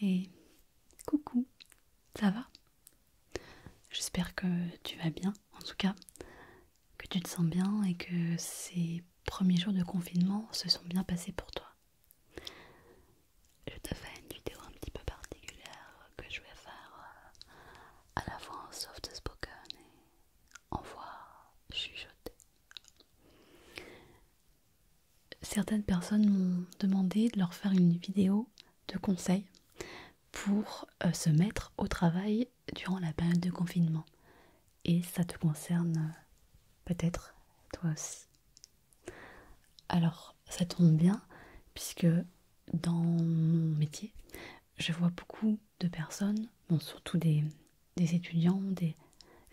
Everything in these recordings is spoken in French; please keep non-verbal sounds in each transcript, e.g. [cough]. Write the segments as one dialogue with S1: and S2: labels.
S1: Et coucou, ça va J'espère que tu vas bien, en tout cas, que tu te sens bien et que ces premiers jours de confinement se sont bien passés pour toi. Je te fais une vidéo un petit peu particulière que je vais faire euh, à la fois en soft spoken et en voix chuchotée certaines personnes m'ont demandé de leur faire une vidéo de conseils pour euh, se mettre au travail durant la période de confinement. Et ça te concerne euh, peut-être toi aussi. Alors, ça tombe bien puisque dans mon métier, je vois beaucoup de personnes, bon, surtout des, des étudiants, des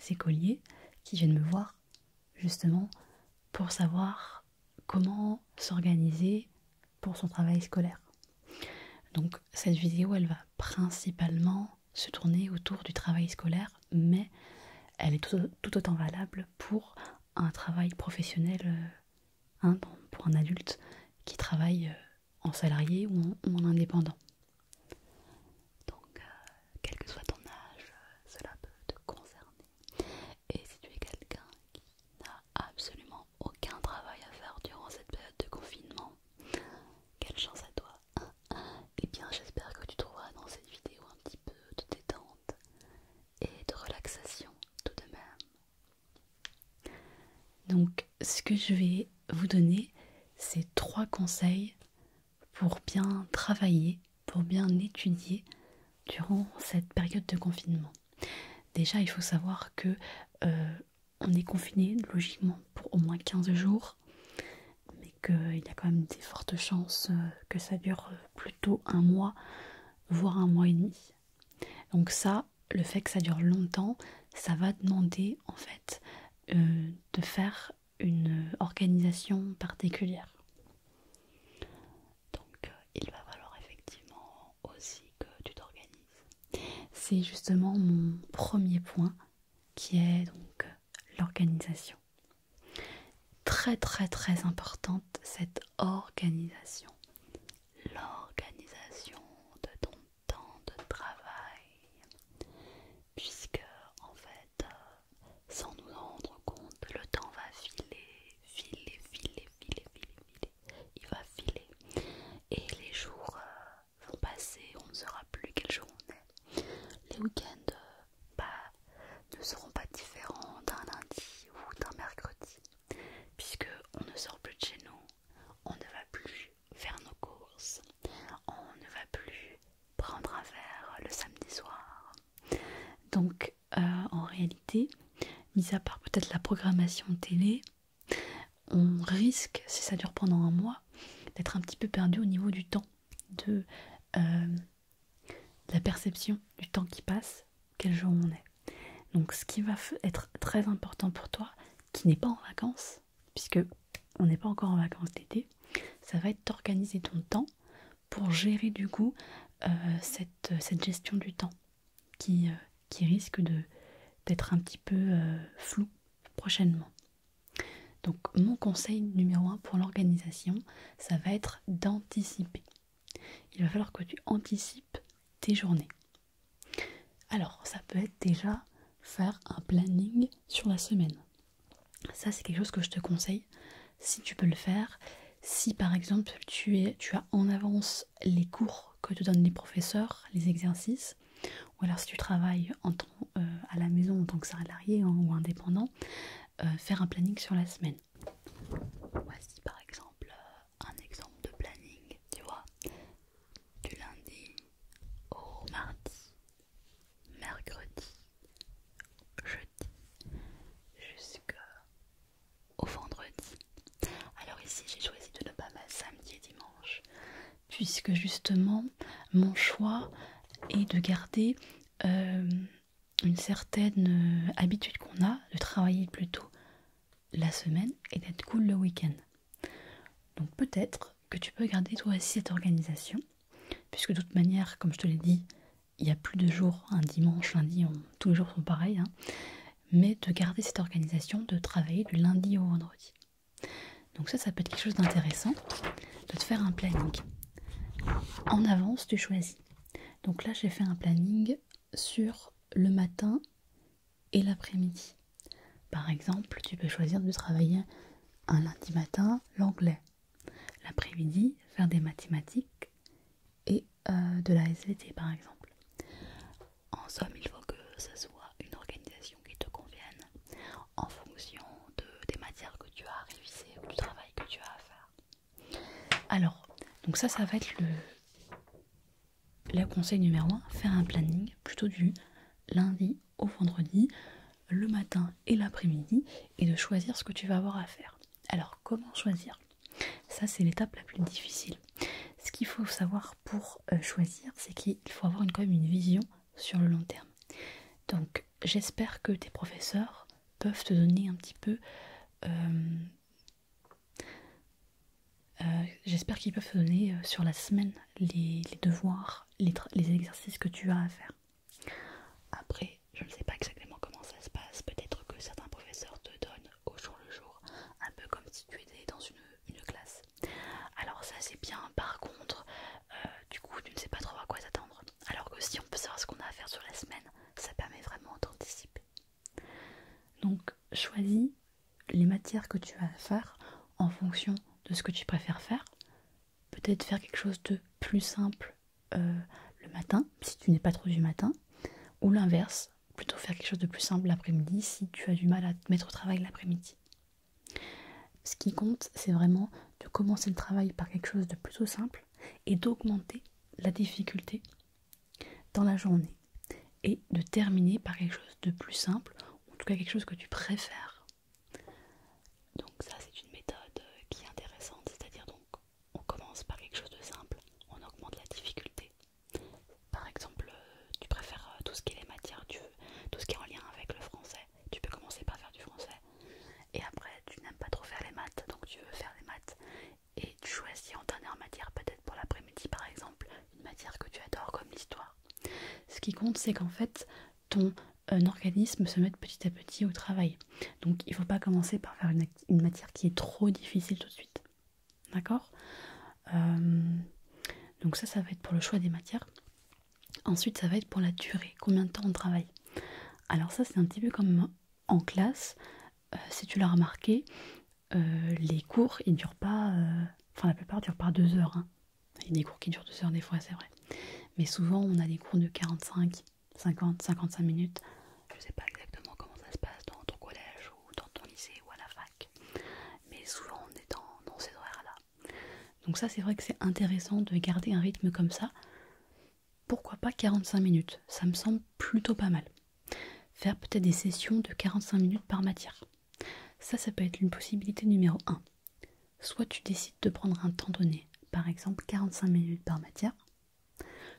S1: écoliers qui viennent me voir justement pour savoir comment s'organiser pour son travail scolaire. Donc cette vidéo, elle va principalement se tourner autour du travail scolaire, mais elle est tout, autant valable pour un travail professionnel, euh, hein, pour un adulte qui travaille euh, en salarié ou en indépendant. Donc, euh, quel que soit ton âge, euh, cela peut te concerner. Et si tu es quelqu'un qui n'a absolument aucun travail à faire durant cette période de confinement, quelle chance à toi! Et eh bien, j'espère que tu trouveras dans cette vidéo un petit peu de détente et de relaxation tout de même. Donc, ce que je vais vous donner, c'est trois conseils pour bien travailler, pour bien étudier durant cette période de confinement. Déjà, il faut savoir que euh, on est confiné logiquement pour au moins 15 jours, mais qu'il y a quand même des fortes chances euh, que ça dure euh, plutôt un mois, voire un mois et demi. Donc ça, le fait que ça dure longtemps, ça va demander en fait de faire une euh, organisation particulière. Donc euh, il va falloir effectivement aussi que tu t'organises. C'est justement mon premier point qui est donc euh, l'organisation. Très très très importante cette organisation. L'organisation de ton temps de travail puisque en fait, euh, sans nous en rendre compte, le temps va filer, filer, filer, filer, filer, il va filer, et les jours euh, vont passer, on ne saura plus quel jour on est. Les week-ends euh, bah, ne seront pas différents d'un lundi ou d'un mercredi, puisque on ne sort plus de chez nous, on ne va plus faire nos courses, on ne va plus prendre un verre le samedi soir. Donc euh, en réalité, mis à part peut-être la programmation télé, on risque, si ça dure pendant un mois, d'être un petit peu perdu au niveau du temps, de euh, la perception du temps qui passe, quel jour on est. Donc ce qui va être très important pour toi, qui n'est pas en vacances, puisque on n'est pas encore en vacances d'été, ça va être d'organiser ton temps pour gérer du coup euh, euh, cette, gestion du temps qui, euh, risque d'être un petit peu floue flou prochainement. Donc mon conseil numéro 1 pour l'organisation, ça va être d'anticiper. Il va falloir que tu anticipes tes journées. Alors ça peut être déjà faire un planning sur la semaine. Ça, c'est quelque chose que je te conseille si tu peux le faire. Si par exemple tu, as en avance les cours que te donnent les professeurs, les exercices, ou alors si tu travailles euh, à la maison en tant que salarié hein, ou indépendant, euh, faire un planning sur la semaine. Voici par exemple euh, un exemple de planning, tu vois, du lundi au mardi mercredi, jeudi, jusqu'au vendredi. Alors ici, j'ai choisi de ne pas mettre samedi et dimanche, puisque justement, mon choix est de garder euh, une certaine euh, habitude qu'on a de travailler plutôt la semaine et d'être cool le week-end. Donc peut-être que tu peux garder toi aussi cette organisation, puisque de toute manière, comme je te l'ai dit, il n'y a plus de jours, un dimanche, lundi, tous les jours sont pareils, hein. mais de garder cette organisation, de travailler du lundi au vendredi. Donc ça, ça peut être quelque chose d'intéressant, de te faire un planning. En avance, tu choisis. Donc là, j'ai fait un planning sur le matin et l'après-midi. Par exemple, tu peux choisir de travailler un lundi matin l'anglais, l'après-midi faire des mathématiques et euh, de la SVT par exemple. En somme, il faut que ce soit une organisation qui te convienne en fonction de, des matières que tu as à réviser ou du travail que tu as à faire. Alors, donc ça, ça va être le, le conseil numéro 1, faire un planning plutôt du lundi au vendredi, le matin et l'après-midi, et de choisir ce que tu vas avoir à faire. Alors, comment choisir Ça, c'est l'étape la plus difficile. Ce qu'il faut savoir pour euh, choisir, c'est qu'il faut avoir quand même une vision sur le long terme. Donc, j'espère que tes professeurs peuvent te donner un petit peu... Euh, euh, j'espère qu'ils peuvent te donner sur la semaine les, devoirs, les exercices que tu as à faire. Après, je ne sais pas exactement comment ça se passe, peut-être que certains professeurs te donnent au jour le jour, un peu comme si tu étais dans une, classe. Alors ça c'est bien, par contre, euh, du coup tu ne sais pas trop à quoi t'attendre. Alors que si on peut savoir ce qu'on a à faire sur la semaine, ça permet vraiment d'anticiper. Donc choisis les matières que tu vas faire en fonction de ce que tu préfères faire, peut-être faire quelque chose de plus simple euh, le matin, si tu n'es pas trop du matin, ou l'inverse, plutôt faire quelque chose de plus simple l'après-midi si tu as du mal à te mettre au travail l'après-midi. Ce qui compte, c'est vraiment de commencer le travail par quelque chose de plutôt simple et d'augmenter la difficulté dans la journée et de terminer par quelque chose de plus simple, ou en tout cas quelque chose que tu préfères. Donc ça c'est une méthode euh, qui est intéressante, c'est-à-dire donc on commence par quelque chose de simple, on augmente la difficulté. Par exemple, euh, tu préfères euh, tout ce qui est les matières, tout ce qui est en lien avec le français, tu peux commencer par faire du français. Et après tu n'aimes pas trop faire les maths, donc tu veux faire les maths. Et tu choisis en dernière matière, peut-être pour l'après-midi par exemple, une matière que tu adores comme l'histoire. Ce qui compte, c'est qu'en fait, ton euh, organisme se mettre petit à petit au travail. Donc il ne faut pas commencer par faire une, matière qui est trop difficile tout de suite. D'accord euh, Donc ça, ça va être pour le choix des matières. Ensuite, ça va être pour la durée, combien de temps on travaille. Alors ça, c'est un petit peu comme en classe. Euh, si tu l'as remarqué, les cours, ils durent pas... enfin, la plupart durent pas deux heures. Hein. Il y a des cours qui durent deux heures des fois, c'est vrai. Mais souvent, on a des cours de 45, 50, 55 minutes. Je sais pas exactement comment ça se passe dans ton collège ou dans ton lycée ou à la fac, mais souvent on est dans, ces horaires-là. Donc ça c'est vrai que c'est intéressant de garder un rythme comme ça. Pourquoi pas 45 minutes Ça me semble plutôt pas mal. Faire peut-être des sessions de 45 minutes par matière. Ça, ça peut être une possibilité numéro 1. Soit tu décides de prendre un temps donné, par exemple 45 minutes par matière,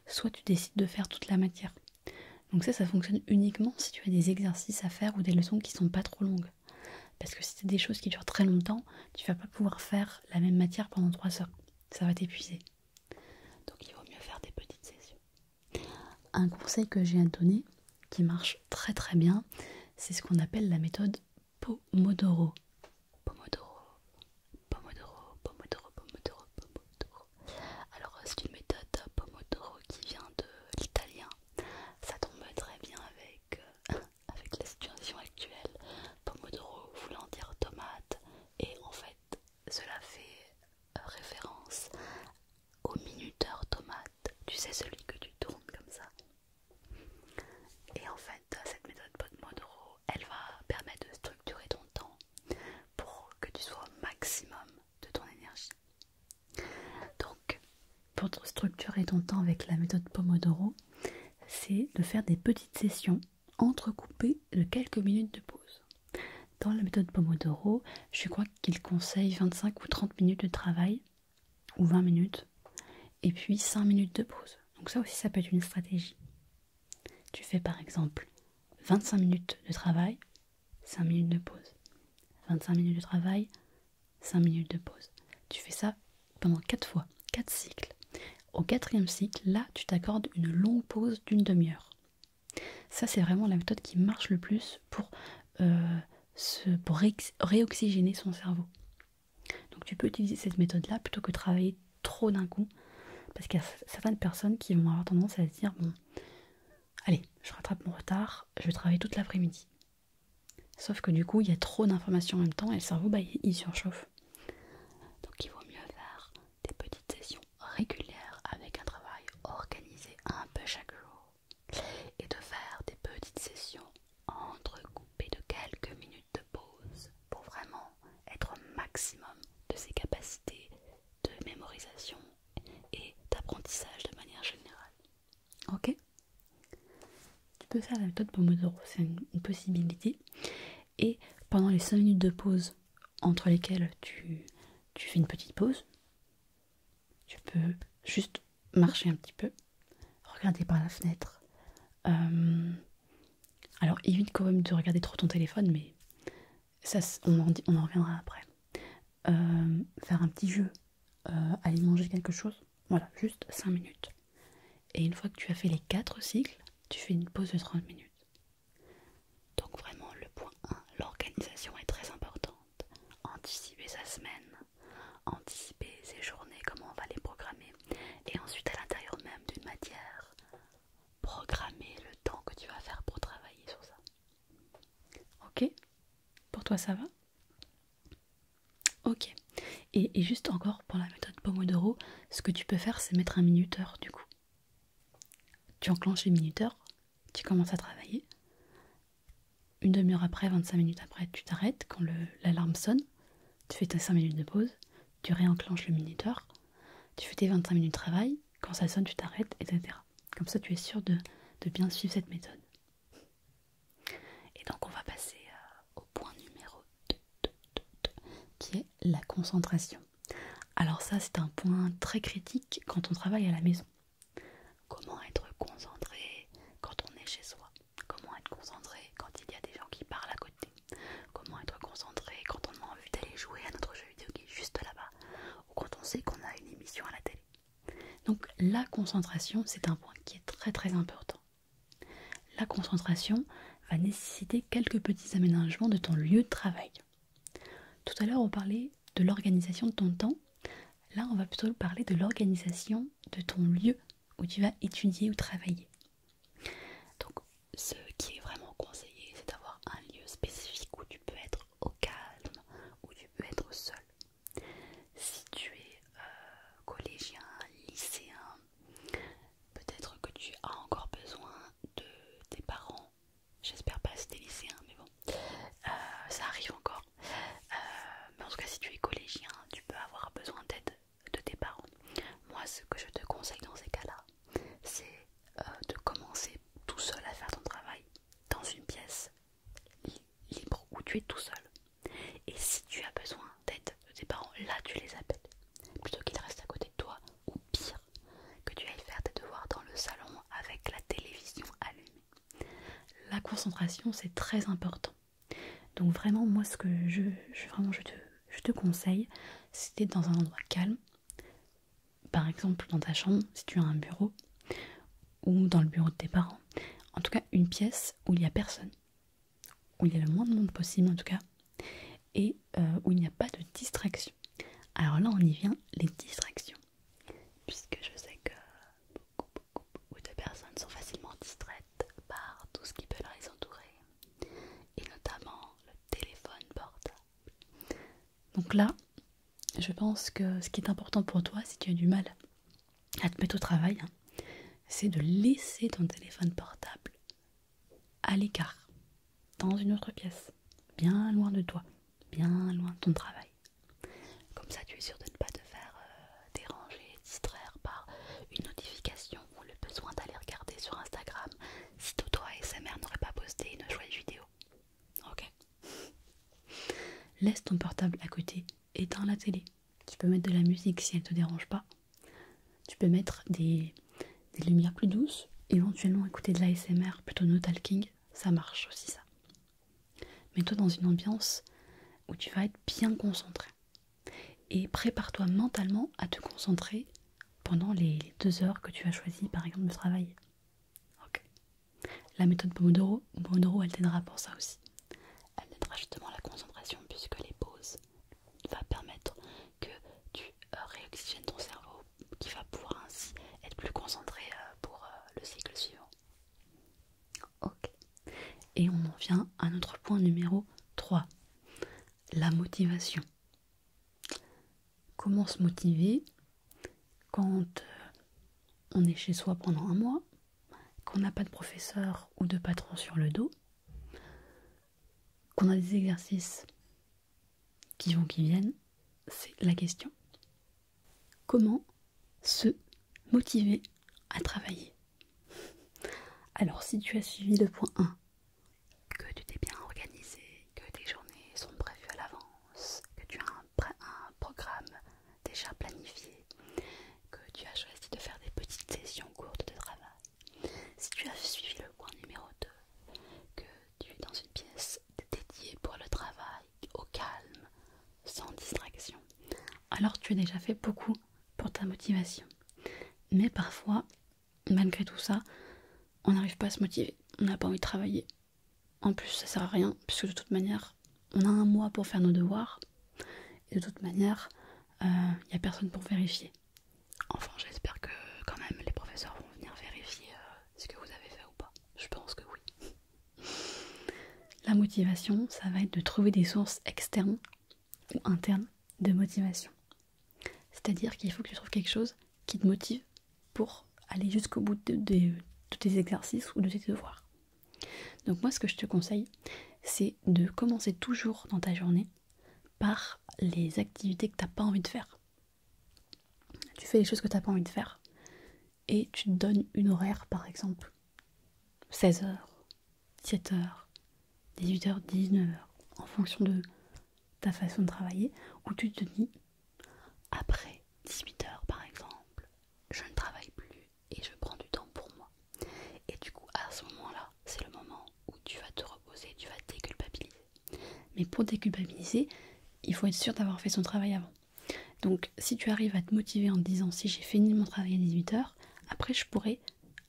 S1: soit tu décides de faire toute la matière. Donc ça, ça fonctionne uniquement si tu as des exercices à faire ou des leçons qui sont pas trop longues. Parce que si c'est des choses qui durent très longtemps, tu ne vas pas pouvoir faire la même matière pendant 3 heures. Ça va t'épuiser. Donc il vaut mieux faire des petites sessions. Un conseil que j'ai à donner, qui marche très très bien, c'est ce qu'on appelle la méthode Pomodoro. Pomodoro. Pomodoro. Pomodoro. Pomodoro. Pomodoro. Alors euh, c'est une méthode Pomodoro qui vient de l'italien. Ça tombe très bien avec, euh, [laughs] avec la situation actuelle. Pomodoro voulant dire tomate. Et en fait cela fait euh, référence au minuteur tomate. Tu sais celui que tu tournes comme ça et en fait, cette méthode Pomodoro, elle va permettre de structurer ton temps pour que tu sois au maximum de ton énergie. Donc, pour structurer ton temps avec la méthode Pomodoro, c'est de faire des petites sessions entrecoupées de quelques minutes de pause. Dans la méthode Pomodoro, je crois qu'il conseille 25 ou 30 minutes de travail ou 20 minutes et puis 5 minutes de pause. Donc ça aussi, ça peut être une stratégie. Tu fais par exemple 25 minutes de travail, 5 minutes de pause. 25 minutes de travail, 5 minutes de pause. Tu fais ça pendant 4 fois, 4 cycles. Au quatrième cycle, là, tu t'accordes une longue pause d'une demi-heure. Ça, c'est vraiment la méthode qui marche le plus pour, euh, pour réoxygéner son cerveau. Donc tu peux utiliser cette méthode-là plutôt que travailler trop d'un coup, parce qu'il y a certaines personnes qui vont avoir tendance à se dire bon, allez, je rattrape mon retard, je vais travailler toute l'après-midi. Sauf que du coup, il y a trop d'informations en même temps et le cerveau, bah, il surchauffe. Donc il vaut mieux faire des petites sessions régulières avec un travail organisé un peu chaque jour et de faire des petites sessions entrecoupées de quelques minutes de pause pour vraiment être au maximum de ses capacités de mémorisation et d'apprentissage de manière générale. Ok Tu peux faire la méthode Pomodoro, c'est une possibilité. Et pendant les 5 minutes de pause entre lesquelles tu, tu fais une petite pause, tu peux juste marcher un petit peu, regarder par la fenêtre, euh, alors évite quand même de regarder trop ton téléphone, mais ça, on en, reviendra après. Euh, faire un petit jeu, euh, aller manger quelque chose, voilà, juste 5 minutes. Et une fois que tu as fait les 4 cycles, tu fais une pause de 30 minutes. Donc vraiment, le point 1, l'organisation est très importante. Anticiper sa semaine, anticiper ses journées, comment on va les programmer, et ensuite à l'intérieur même d'une matière, programmer le temps que tu vas faire pour travailler sur ça. Ok Pour toi ça va Ok. Et, juste encore pour la méthode Pomodoro, ce que tu peux faire c'est mettre un minuteur du coup. Tu enclenches les minuteurs, tu commences à travailler. Une demi-heure après, 25 minutes après, tu t'arrêtes quand l'alarme sonne tu fais tes 5 minutes de pause, tu réenclenches le minuteur, tu fais tes 25 minutes de travail, quand ça sonne, tu t'arrêtes, etc. Comme ça, tu es sûr de, bien suivre cette méthode. Et donc, on va passer euh, au point numéro 2, qui est la concentration. Alors ça, c'est un point très critique quand on travaille à la maison. Comment être concentré quand on est chez soi Comment être concentré quand il y a des gens qui parlent à côté Comment être concentré quand on a envie d'aller jouer à notre jeu vidéo qui est juste là-bas Ou quand on sait qu'on a une émission à la télé Donc la concentration, c'est un point qui est très très important. La concentration va nécessiter quelques petits aménagements de ton lieu de travail. Tout à l'heure, on parlait de l'organisation de ton temps. Là, on va plutôt parler de l'organisation de ton lieu où tu vas étudier ou travailler. Donc, ce qui est vraiment conseillé, c'est d'avoir un lieu spécifique où tu peux être au calme, où tu peux être seul. Si tu es euh, collégien, lycéen, peut-être que tu as encore besoin de tes parents. J'espère pas si t'es lycéen, mais bon, euh, ça arrive encore. Euh, mais en tout cas, si tu es collégien, tu peux avoir besoin d'aide de tes parents. Moi, ce que je te conseille dans ces cas-là, c'est euh, de commencer tout seul à faire ton travail dans une pièce libre où tu es tout seul. Et si tu as besoin d'aide de tes parents, là tu les appelles plutôt qu'ils restent à côté de toi ou pire que tu ailles faire tes devoirs dans le salon avec la télévision allumée. La concentration c'est très important. Donc vraiment moi ce que je, je vraiment je je te conseille, si tu es dans un endroit calme, par exemple dans ta chambre, si tu as un bureau, ou dans le bureau de tes parents, en tout cas une pièce où il n'y a personne, où il y a le moins de monde possible en tout cas, et euh, où il n'y a pas de distraction. Alors là, on y vient, les distractions. Puisque je sais que beaucoup, beaucoup, beaucoup de personnes sont facilement distraites par tout ce qui peut les entourer, et notamment le téléphone portable. Donc là, je pense que ce qui est important pour toi, si tu as du mal à te mettre au travail, hein, c'est de laisser ton téléphone portable à l'écart, dans une autre pièce, bien loin de toi, bien loin de ton travail. Comme ça, tu es sûr de ne pas te faire euh, déranger, distraire par une notification ou le besoin d'aller regarder sur Instagram si toi ASMR n'aurait pas posté une jolie vidéo. Ok. Laisse ton portable à côté, éteins la télé. Tu peux mettre de la musique si elle te dérange pas. Tu peux mettre des, des lumières plus douces, éventuellement écouter de l'ASMR, plutôt no talking, ça marche aussi ça. Mets-toi dans une ambiance où tu vas être bien concentré et prépare-toi mentalement à te concentrer pendant les, deux heures que tu as choisi par exemple de travailler. La méthode Pomodoro, Pomodoro elle t'aidera pour ça aussi. Elle t'aidera justement à la concentration puisque les pauses va permettre que tu euh, réoxygènes ton cerveau qui va pouvoir ainsi être plus concentré euh, pour euh, le cycle suivant. Ok. Et on en vient à notre point numéro 3, la motivation. Comment se motiver quand euh, on est chez soi pendant un mois, qu'on n'a pas de professeur ou de patron sur le dos, qu'on a des exercices qui vont, qui viennent, c'est la question. Comment se motiver à travailler Alors, si tu as suivi le point 1, que tu t'es bien organisé, que tes journées sont prévues à l'avance, que tu as un, programme déjà planifié, que tu as choisi de faire des petites sessions courtes de travail. Si tu as suivi le point numéro 2, que tu es dans une pièce dédiée pour le travail, au calme, sans distraction, alors tu as déjà fait beaucoup pour ta motivation. Mais parfois, malgré tout ça, on n'arrive pas à se motiver, on n'a pas envie de travailler. En plus, ça sert à rien, puisque de toute manière, on a un mois pour faire nos devoirs, et de toute manière, il euh, n'y a personne pour vérifier. Enfin, j'espère que quand même les professeurs vont venir vérifier euh, ce que vous avez fait ou pas. Je pense que oui. La motivation, ça va être de trouver des sources externes ou internes de motivation. C'est-à-dire qu'il faut que tu trouves quelque chose qui te motive pour aller jusqu'au bout de, tes exercices ou de tes devoirs. Donc moi ce que je te conseille, c'est de commencer toujours dans ta journée par les activités que tu n'as pas envie de faire. Tu fais les choses que tu n'as pas envie de faire et tu te donnes une horaire par exemple 16h, 7 h 18h, 19h, en fonction de ta façon de travailler, où tu te dis, après 18h par exemple, je ne travaille plus et je prends du temps pour moi. Et du coup, à ce moment-là, c'est le moment où tu vas te reposer, tu vas déculpabiliser. Mais pour déculpabiliser, il faut être sûr d'avoir fait son travail avant. Donc si tu arrives à te motiver en te disant si j'ai fini mon travail à 18h, après je pourrai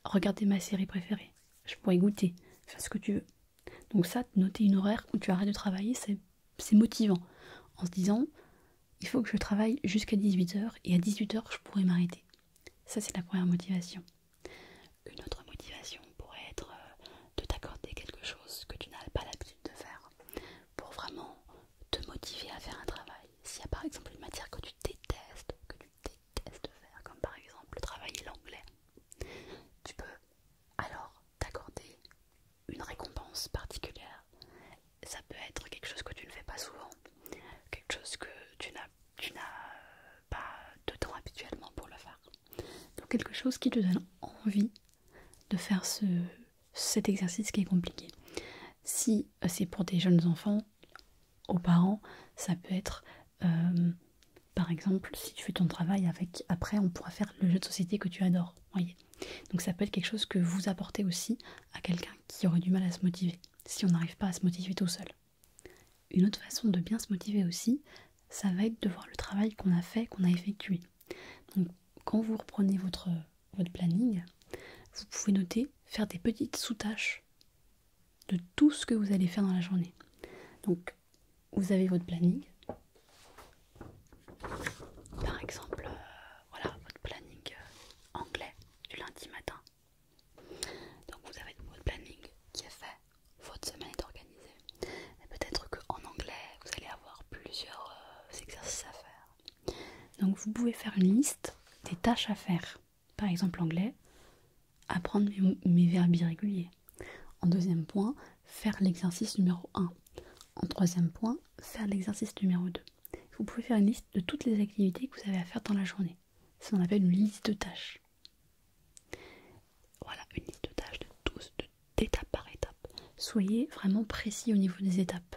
S1: regarder ma série préférée je pourrais goûter, faire ce que tu veux. Donc ça, noter une horaire où tu arrêtes de travailler, c'est motivant. En se disant, il faut que je travaille jusqu'à 18h et à 18h, je pourrais m'arrêter. Ça, c'est la première motivation. Une autre motivation pourrait être euh, de t'accorder quelque chose que tu n'as pas l'habitude de faire pour vraiment te motiver à faire un travail. S'il y a par exemple une matière que tu détestes, que tu détestes, de faire, comme par exemple travailler l'anglais, tu peux alors t'accorder une récompense particulière. Ça peut être quelque chose que tu ne fais pas souvent, quelque chose que tu n'as pas de temps habituellement pour le faire. Donc quelque chose qui te donne envie de faire ce, cet exercice qui est compliqué. Si c'est pour des jeunes enfants, aux parents, ça peut être euh, par exemple si tu fais ton travail avec après on pourra faire le jeu de société que tu adores, voyez. Donc ça peut être quelque chose que vous apportez aussi à quelqu'un qui aurait du mal à se motiver, si on n'arrive pas à se motiver tout seul. Une autre façon de bien se motiver aussi, ça va être de voir le travail qu'on a fait, qu'on a effectué. Donc quand vous reprenez votre, votre planning, vous pouvez noter, faire des petites sous-tâches de tout ce que vous allez faire dans la journée. Donc, vous avez votre planning. Par exemple, euh, voilà, votre planning euh, anglais du lundi matin. Donc, vous avez votre planning qui est fait, votre semaine est organisée. Et peut-être qu'en anglais, vous allez avoir plusieurs euh, exercices à faire. Donc, vous pouvez faire une liste des tâches à faire par exemple l'anglais, apprendre mes, verbes irréguliers. En deuxième point, faire l'exercice numéro 1. En troisième point, faire l'exercice numéro 2. Vous pouvez faire une liste de toutes les activités que vous avez à faire dans la journée. C'est ce appelle une liste de tâches. Voilà, une liste de tâches de tous, d'étape par étape. Soyez vraiment précis au niveau des étapes.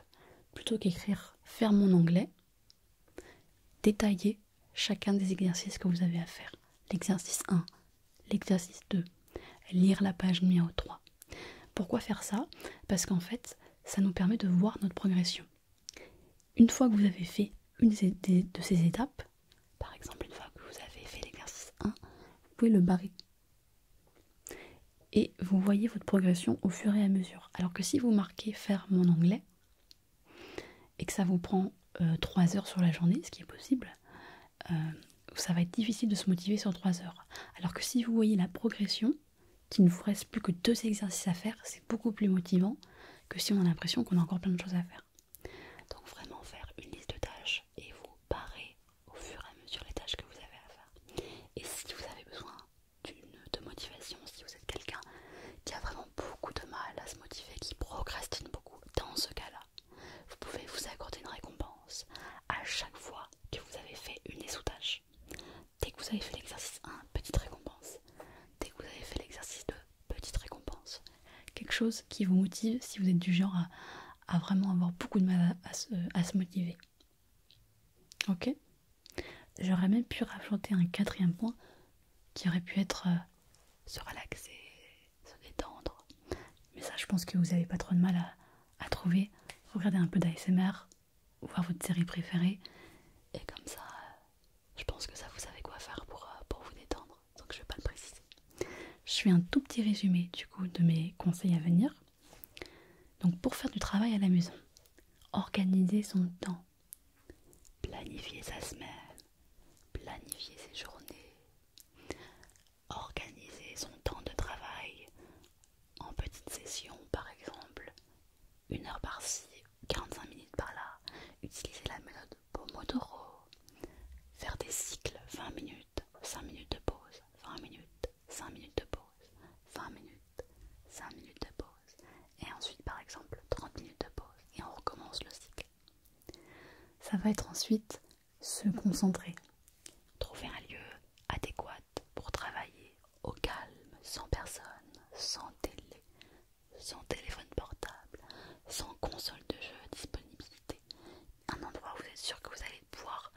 S1: Plutôt qu'écrire faire mon anglais, détailler chacun des exercices que vous avez à faire. L'exercice 1, l'exercice 2, lire la page numéro 3. Pourquoi faire ça Parce qu'en fait, ça nous permet de voir notre progression. Une fois que vous avez fait une de ces étapes, par exemple une fois que vous avez fait l'exercice 1, vous pouvez le barrer. Et vous voyez votre progression au fur et à mesure. Alors que si vous marquez faire mon anglais, et que ça vous prend euh, trois heures sur la journée, ce qui est possible, euh, ça va être difficile de se motiver sur trois heures. Alors que si vous voyez la progression, qu'il ne vous reste plus que deux exercices à faire, c'est beaucoup plus motivant que si on a l'impression qu'on a encore plein de choses à faire. Donc vraiment faire une liste de tâches et vous barrer au fur et à mesure les tâches que vous avez à faire. Et si vous avez besoin de motivation, si vous êtes quelqu'un qui a vraiment beaucoup de mal à se motiver, qui procrastinent beaucoup, dans ce cas-là, vous pouvez vous accorder une récompense à chaque fois que vous avez fait une des sous-tâches. Dès que vous avez fait l'exercice 1, petite récompense. Dès que vous avez fait l'exercice 2, petite récompense. Quelque chose qui vous motive si vous êtes du genre à, vraiment avoir beaucoup de mal à, se, motiver. Ok J'aurais même pu rajouter un quatrième point qui aurait pu être euh, se relaxer, se détendre. Mais ça, je pense que vous n'avez pas trop de mal à, trouver. Regardez un peu d'ASMR, voir votre série préférée, et comme ça, je pense que ça, vous savez quoi faire pour, euh, pour vous détendre. Donc, je ne vais pas le préciser. Je fais un tout petit résumé du coup de mes conseils à venir. Donc, pour faire du travail à la maison, organiser son temps, planifier sa semaine, planifier ses journées, organiser son temps de travail en petites sessions par exemple, une heure par-ci, 45 minutes par-là, utiliser la méthode Pomodoro, faire des cycles 20 minutes, 5 minutes de pause, 20 minutes, 5 minutes de pause, 20 minutes, 5 minutes de pause, et ensuite par exemple 30 minutes de pause, et on recommence le cycle. Ça va être ensuite se concentrer, trouver un lieu adéquat pour travailler au calme, sans personne, sans télé, sans téléphone portable, sans console de jeu disponibilité. Un endroit où vous êtes sûr que vous allez pouvoir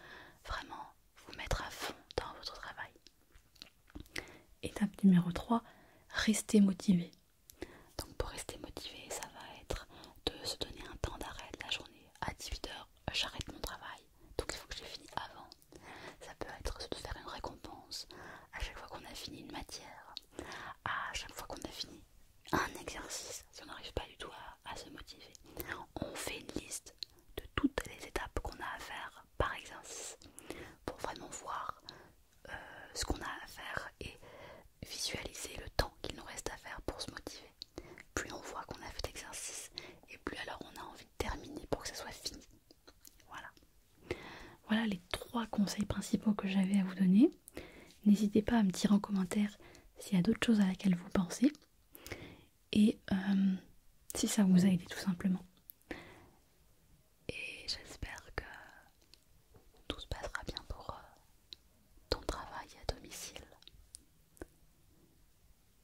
S1: vraiment vous mettre à fond dans votre travail. Étape numéro 3, restez motivé. Donc pour rester motivé, ça va être de se donner un temps d'arrêt de la journée. À 18h, j'arrête mon travail, donc il faut que je finisse avant. Ça peut être de faire une récompense à chaque fois qu'on a fini une matière, à chaque fois qu'on a fini un exercice, si on n'arrive pas du tout à se motiver. On fait une liste de toutes les étapes qu'on a à faire par exercice pour vraiment voir euh, ce qu'on a à faire et visualiser le temps qu'il nous reste à faire pour se motiver. Plus on voit qu'on a fait l'exercice et plus alors on a envie de terminer pour que ça soit fini. Voilà. Voilà les trois conseils principaux que j'avais à vous donner. N'hésitez pas à me dire en commentaire s'il y a d'autres choses à laquelle vous pensez et euh, si ça vous a aidé tout simplement. Et j'espère que tout se passera bien pour, euh, ton travail à domicile,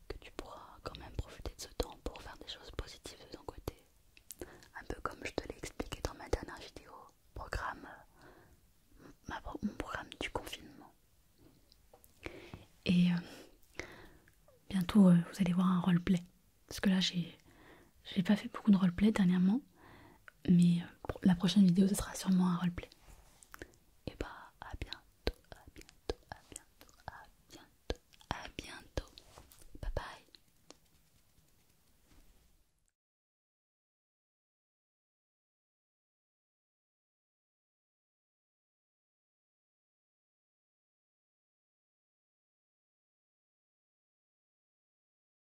S1: que tu pourras quand même profiter de ce temps pour faire des choses positives de ton côté. Un peu comme je te l'ai expliqué dans ma dernière vidéo, programme, mon programme du confinement. Et euh, bientôt, euh, vous allez voir un roleplay. Parce que là, j'ai pas fait beaucoup de roleplay dernièrement, mais euh, la prochaine vidéo ce sera sûrement un roleplay. Et bah à bientôt, à bientôt, à bientôt, à bientôt, à bientôt. Bye bye.